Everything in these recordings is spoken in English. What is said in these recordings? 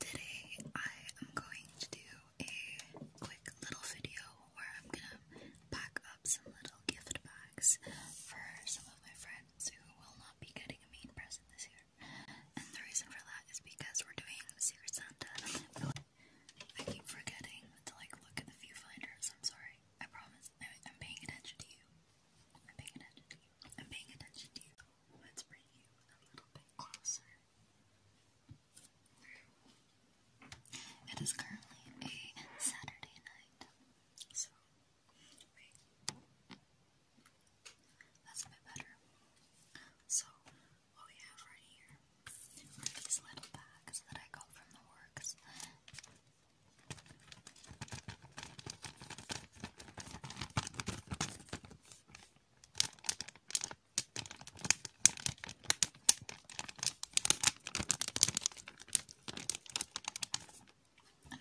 Today I am going to do a quick little video where I'm gonna pack up some little gift bags for some of my friends who will not be getting a main present this year. And the reason for that is because we're doing Secret Santa. I keep forgetting to like look at the viewfinders, I'm sorry. I promise. I'm paying attention to you. I'm paying attention to you and paying attention to you. Let's bring you a little bit closer. It is currently a Saturday night, so That's a bit better. So, what we have right here are these little bags that I got from the works. And I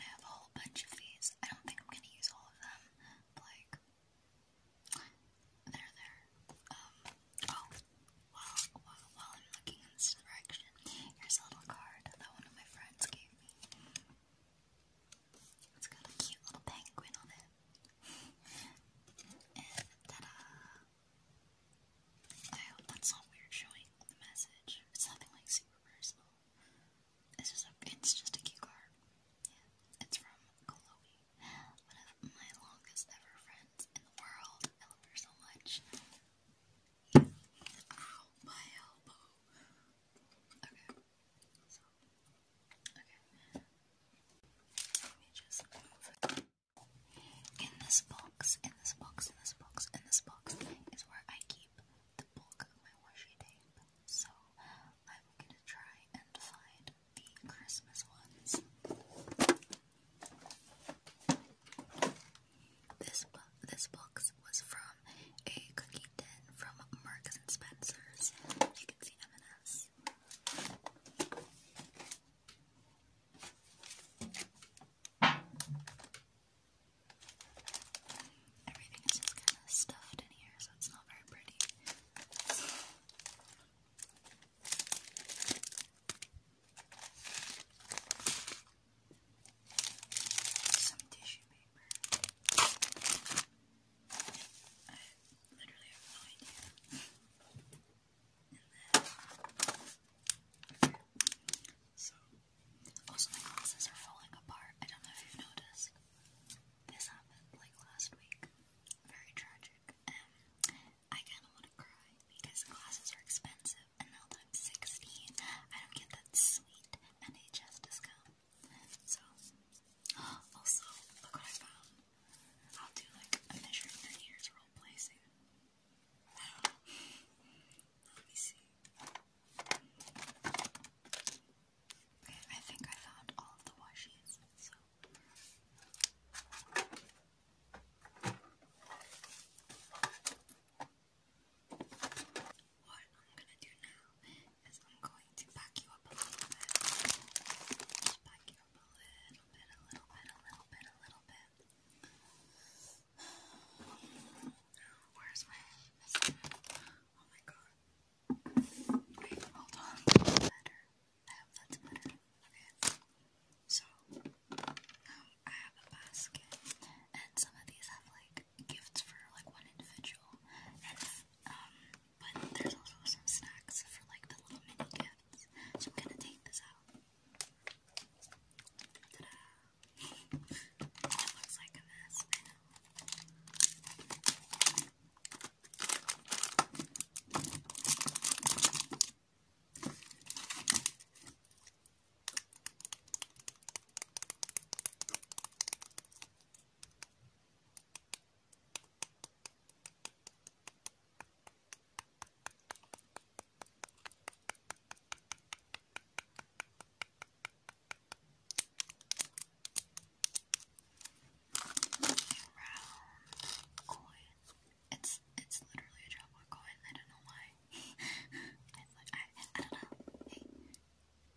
have a whole bunch of these. I don't think I'm gonna use all of them. Like, they there. Um, oh, while, while, while I'm looking in this direction, here's a little card that one of my friends gave me. It's got a cute little penguin on it. and ta-da! I hope that's not weird showing the message. It's nothing like super personal. It's just a, it's just a cute card. it's from Chloe, one of my longest ever friends in the world. I love her so much. my elbow. Okay. So, okay. In this box, in this box, in this box, in this box is where I keep the bulk of my washi tape. So I'm gonna try and find the Christmas ones. this box was from a cookie from Marks and Spencer's. You can see M&S. Everything is just kind of stuffed in here, so it's not very pretty some tissue paper. I literally have no idea. And then, so, my glasses are falling apart. I don't know if you've noticed. This happened like last week. Very tragic. Um, I kind of want to cry because glasses are expensive, and now that I'm 16, I don't get that sweet NHS discount. So, also, look what I found. I'll do like a measure of ears role play soon. I don't know. Let me see. Okay, I think I found all of the washes, what I'm gonna do now is I'm going to back you up a little bit. Just back you up a little bit, a little bit, a little bit, a little bit. Where's my Oh my god. Wait, hold on. Better. I hope that's better. Okay. So, um, I have a basket, and some of these have like gifts for like one individual, and um, but there's also some snacks for like the little mini gifts. So I'm gonna take this out. Ta-da! it looks like a mess. I know round coin. It's it's literally a drop coin. I don't know why. it's like I I don't know.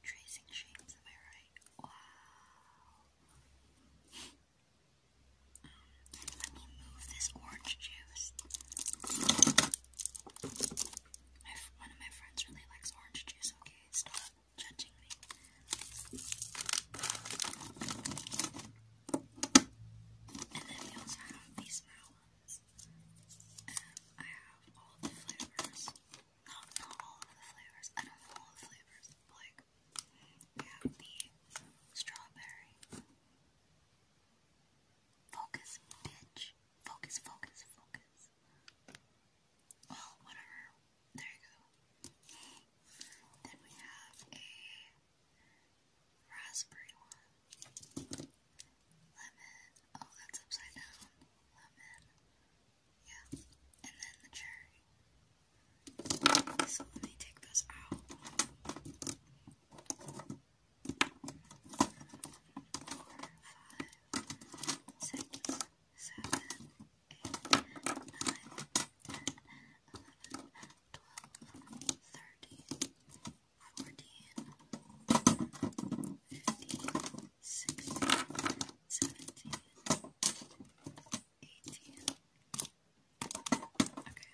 Tracing shapes, am I right? Wow. Let me move this orange juice. one of my friends really likes orange juice, okay? Stop judging me. And then we also have these melons this. And I have all of the flavors. Not, not all of the flavors. I don't know all the flavors. But like, we have the strawberry. Focus, bitch. Focus, focus, focus. Well, whatever. There you go. Then we have a raspberry one lemon, oh that's upside down, lemon, yeah, and then the cherry. So let me take those out. Four, five, six, seven, eight, nine, ten, eleven, twelve, thirty, 14, 15, 16, 17, 18. Okay. Okay. Now,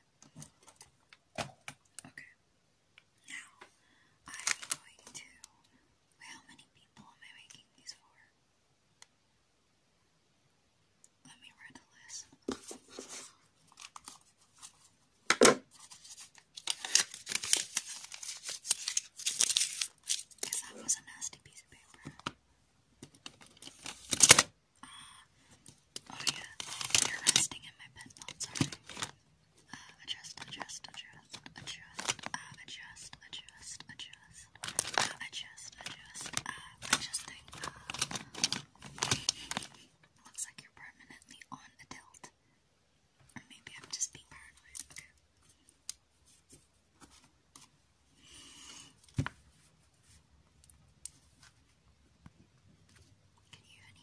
I'm going to. how many people am I making these for? Let me read the list. Because that was a nasty piece of paper. Uh, oh yeah, you're resting in my bed, oh, sorry. Uh, adjust, adjust, adjust, adjust, uh, adjust, adjust, adjust, adjust, adjust, looks like you're permanently on a or maybe I'm just being paranoid. Can you hear that?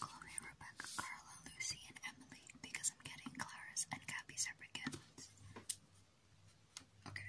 Chloe, Rebecca, Carla, Lucy, and Emily because I'm getting Clara's and Gabby separate Okay.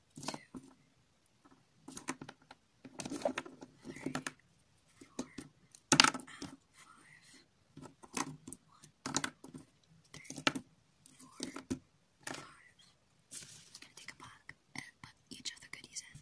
two, three, four, and five. I'm gonna take a pack and put each of the goodies in.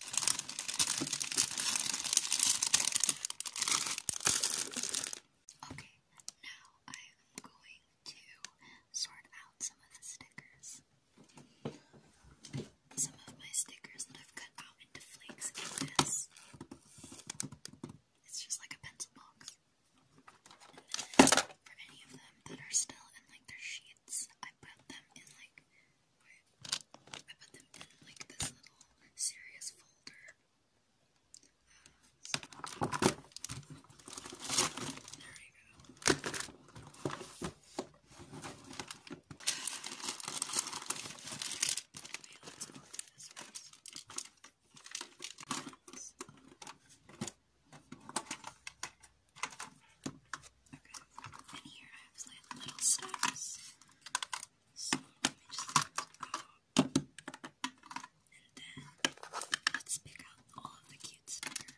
Okay, now I am going to sort out some of the stickers. Some of my stickers that I've cut out into flakes in this. It's just like a pencil box. And then for any of them that are still in like their sheets, I put them in like I put them in like this little serious folder. there you go. and here I have little stars. So let me just And then let's pick out all of the cute stickers.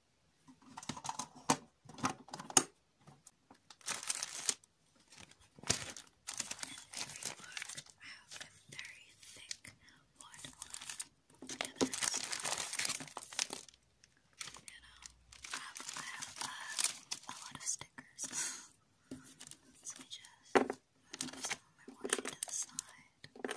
have a very thick one you know, I have, a lot of stickers. so I just move some of my washing to the side.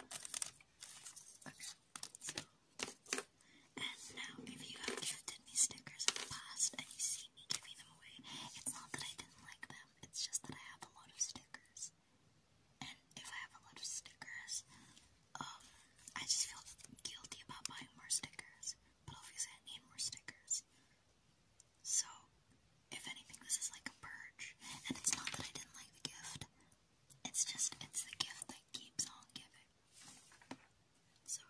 Okay, and now, if you have gifted me stickers in the past and you see me giving them away, it's not that I didn't like them, it's just that I have a lot of stickers. And if I have a lot of stickers, um, I just feel guilty about buying more stickers. But obviously, I need more stickers. So, if anything, this is like a purge. And it's not that I didn't like the gift, it's just, it's the gift that keeps on giving. So,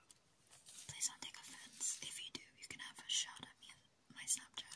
please don't take offense. If you do, you can have a shot at me on my Snapchat.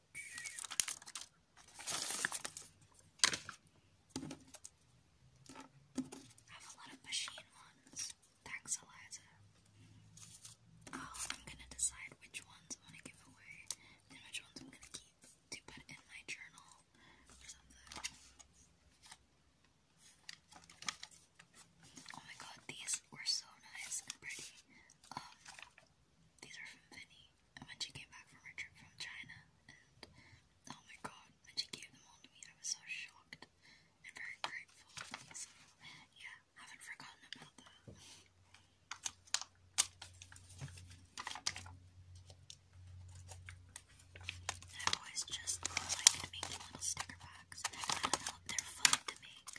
I have a lot of machine ones. Taxalizer. Oh, I'm gonna decide which ones I wanna give away and which ones I'm gonna keep to put in my journal Oh my god, these were so nice and pretty. Um, these are from Vinny. And when she came back from her trip from China, and oh my god, when she gave them all to me, I was so shocked and very grateful. So, yeah, haven't forgotten about that. i always just liked making little sticker packs. I don't know, they're fun to make.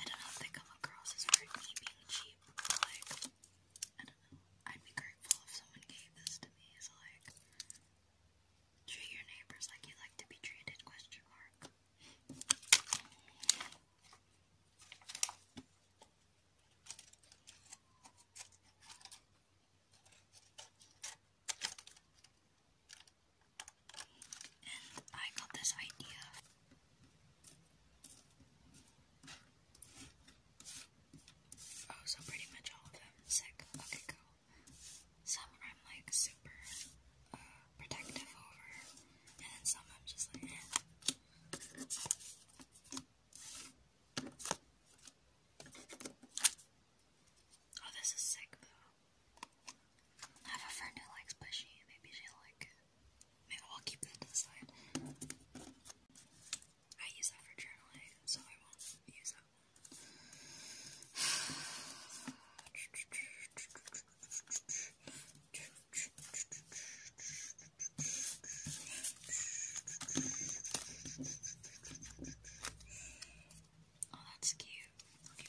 I don't know if they come across as very cheap and cheap keep like I don't know. I'd be grateful if someone gave this to me. So like treat your neighbors like you like to be treated question mark. And I got this idea Oh, so pretty much all of them. Sick. Okay, cool. Some I'm like super uh, protective over, and then some I'm just like, eh. Oh, this is sick though. Have a friend who likes bushy. Maybe she like I'll keep that to the side. I use that for journaling, so I won't use that Oh, that's cute. I'll that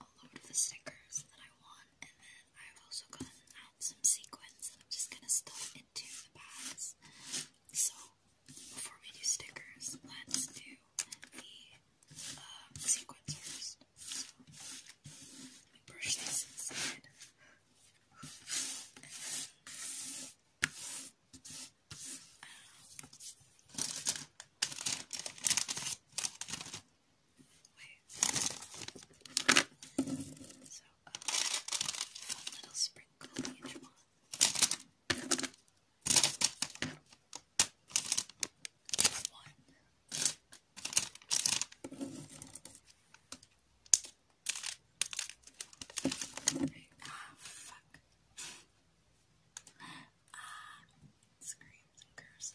a load of the stickers that I want, and then I've also gotten some sequins that I'm just gonna stuff into the bags. So, before we do stickers, let's do the um, sequins first. So, brush this inside. Wait. So, uh, little sprinkle each one. Ah, fuck. Ah, screams and curses.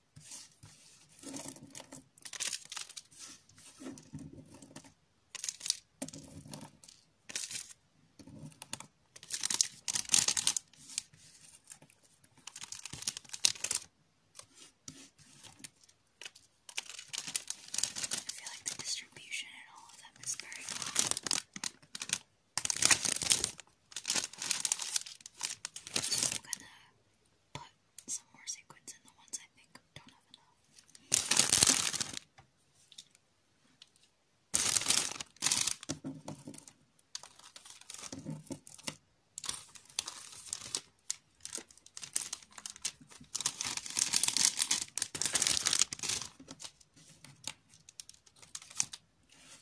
I feel like the distribution and all of them is very fun. I'm gonna put some more sequins in the ones I think don't have enough.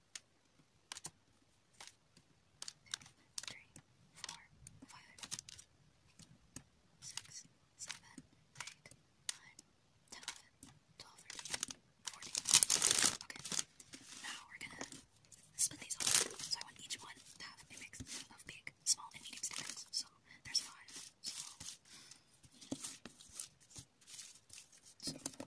three, four, five, six, seven, eight, nine, ten, eleven, twelve, thirteen, fourteen. Okay. Now we're gonna split these all. So I want each one to have a mix of big, small, and medium stickers. So there's five. So, so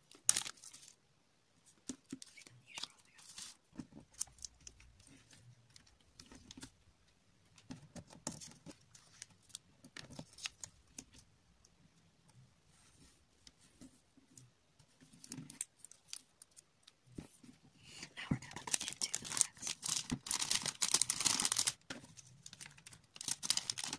Now we're going to put this into the box.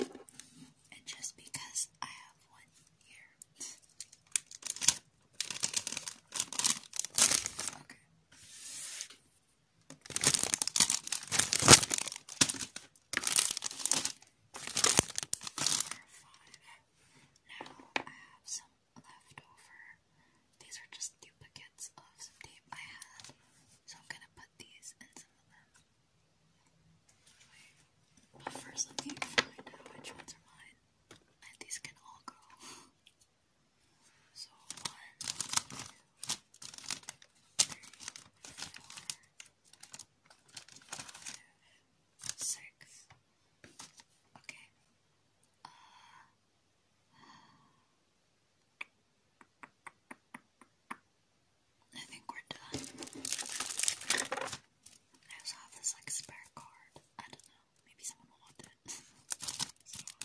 And just because I have one ear. Okay. five. Now I have some leftover these are just duplicates of some tape I had, so I'm gonna put these in some of them. But first, let me find out which ones are mine, and these can all go. So one, two, three, four, five, six. Okay. Uh, I think we're done. I also have this like spare card. I don't know. Maybe someone will want it.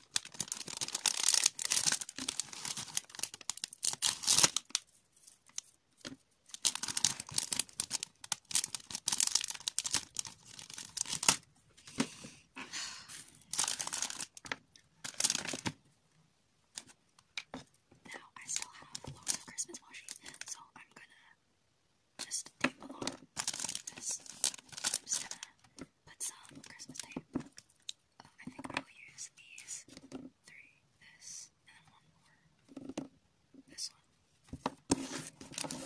Now I still have loads of Christmas washi, so I'm gonna just tape along just gonna put some Christmas tape. Um, uh, I think I will use these three, this, and one more. This one. Okay.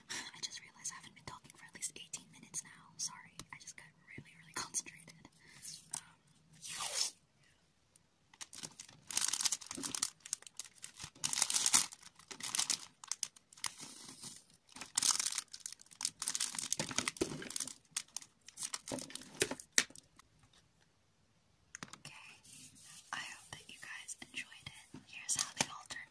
I just realized I haven't been talking for at least 18 minutes now. Sorry, I just got really, really concentrated. Okay, I hope that you guys enjoyed it. Here's how they all turned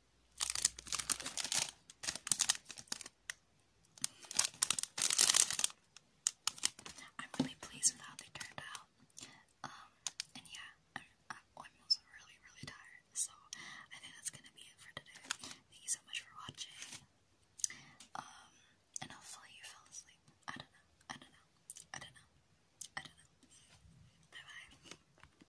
I'm really pleased with how they turned out. Um, and yeah, I'm, I'm also really, really tired. So I think that's gonna be it for today. Thank you so much for watching. Um, and hopefully you fell asleep. I don't know. I don't know. I don't know. I don't know. Bye bye.